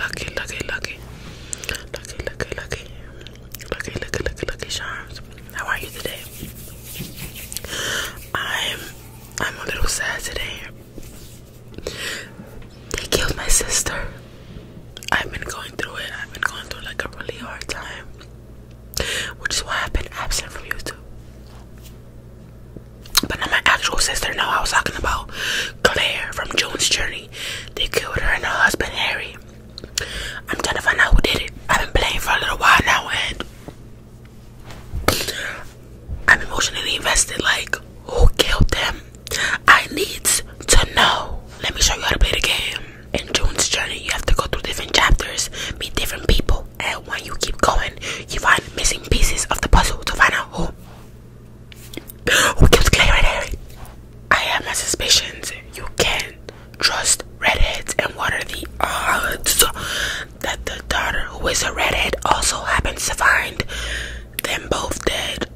lucky, lucky, lucky, lucky, lucky, lucky, lucky, lucky charms. How are you today? I'm I'm a little sad today. They killed my sister. I've been going through it. I've been going through like a really hard time which is why I've been absent from YouTube. But not my actual sister, no, I was talking about Claire from June's Journey. They killed her and her husband, Harry. I'm trying to find out who did it. I've been playing for a little while now and I'm emotionally invested. Like, who killed them? I need to know. Let me show you how to play the game. In June's Journey, you have to go through different chapters, meet different people and when you keep going, you find missing pieces of the puzzle to find out who who keeps clearing Harry. I have my suspicions. You can trust redheads, and what are the odds that the daughter, who is a redhead, also happens to find them both dead?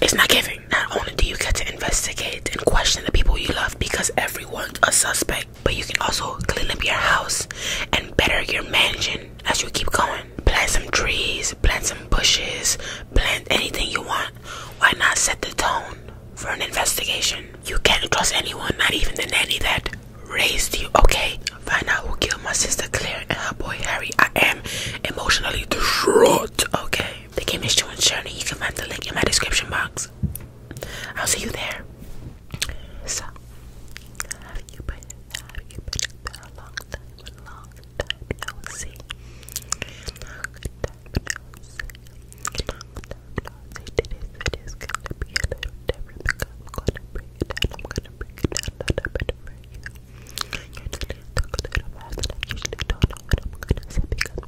It's not giving. Not only do you get to investigate and question the people you love because everyone's a suspect, but you can also clean up your house and better your mansion as you keep going. Plant some trees, plant some bushes, plant anything you want. Why not set the tone for an investigation? You can't trust anyone, not even the nanny that raised you, okay? Find out who killed my sister Claire and her boy Harry. I am emotionally distraught, okay? The game is Joe Shirley. You can find the link in my description box. I'll see you there. So, have you been, have you been, been a long time, a long time no see? Long time Long time no see. Today's video is to be a different because I'm going to break it down. I'm going to break it down a little bit for you. usually don't know what I'm going to say because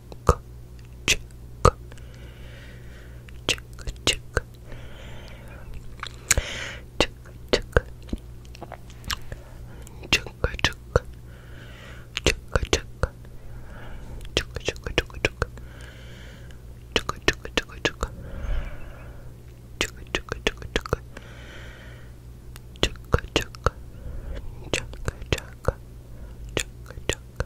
check, check, check, check, check, check, check. Chugga chugga, chugga chugga chugga chugga, chugga chugga chugga chugga, chugga chugga chugga chugga, chugga chugga, chugga chugga, chugga chugga,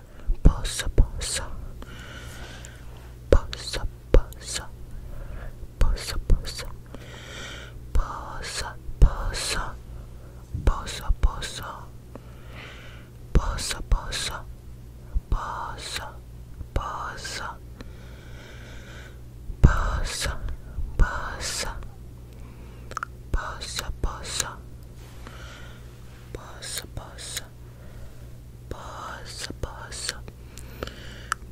Bossa bossa. Bossa bossa. Bossa bossa. Bossa bossa. Bossa bossa. Bossa bossa. Bossa bossa. Bossa bossa. Bossa bossa. Bossa bossa. Pause, pause,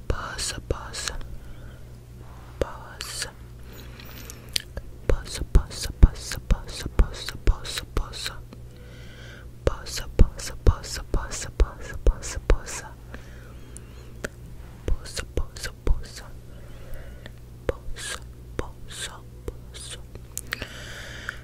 pause, pause, pause, pause, pause, pause, pause, pause, pause, pause, pause, pause, pause, pause, pause, pause, pause. Pause, pause, pause. Pause, pause, pause.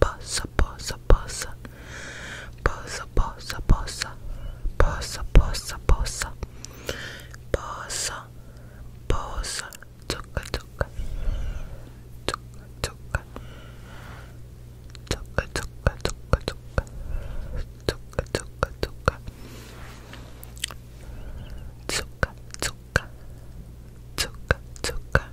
Bossa, bossa, bossa. Bossa, bossa, bossa. Bossa, bossa, bossa. Bossa, bossa. Zucca, zucca. Zucca, zucca. Zucca, zucca, zucca, zucca. Zucca, zucca, zucca. Zucca, zucca. Zucca, zucca.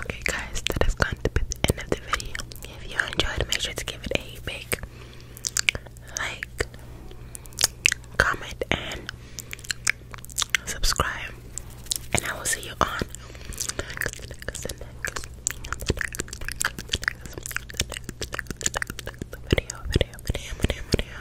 Okay guys, that is going to the end of the video. If you enjoyed, make sure to give it a big like, comment, and subscribe. And I will see you on video, video, video.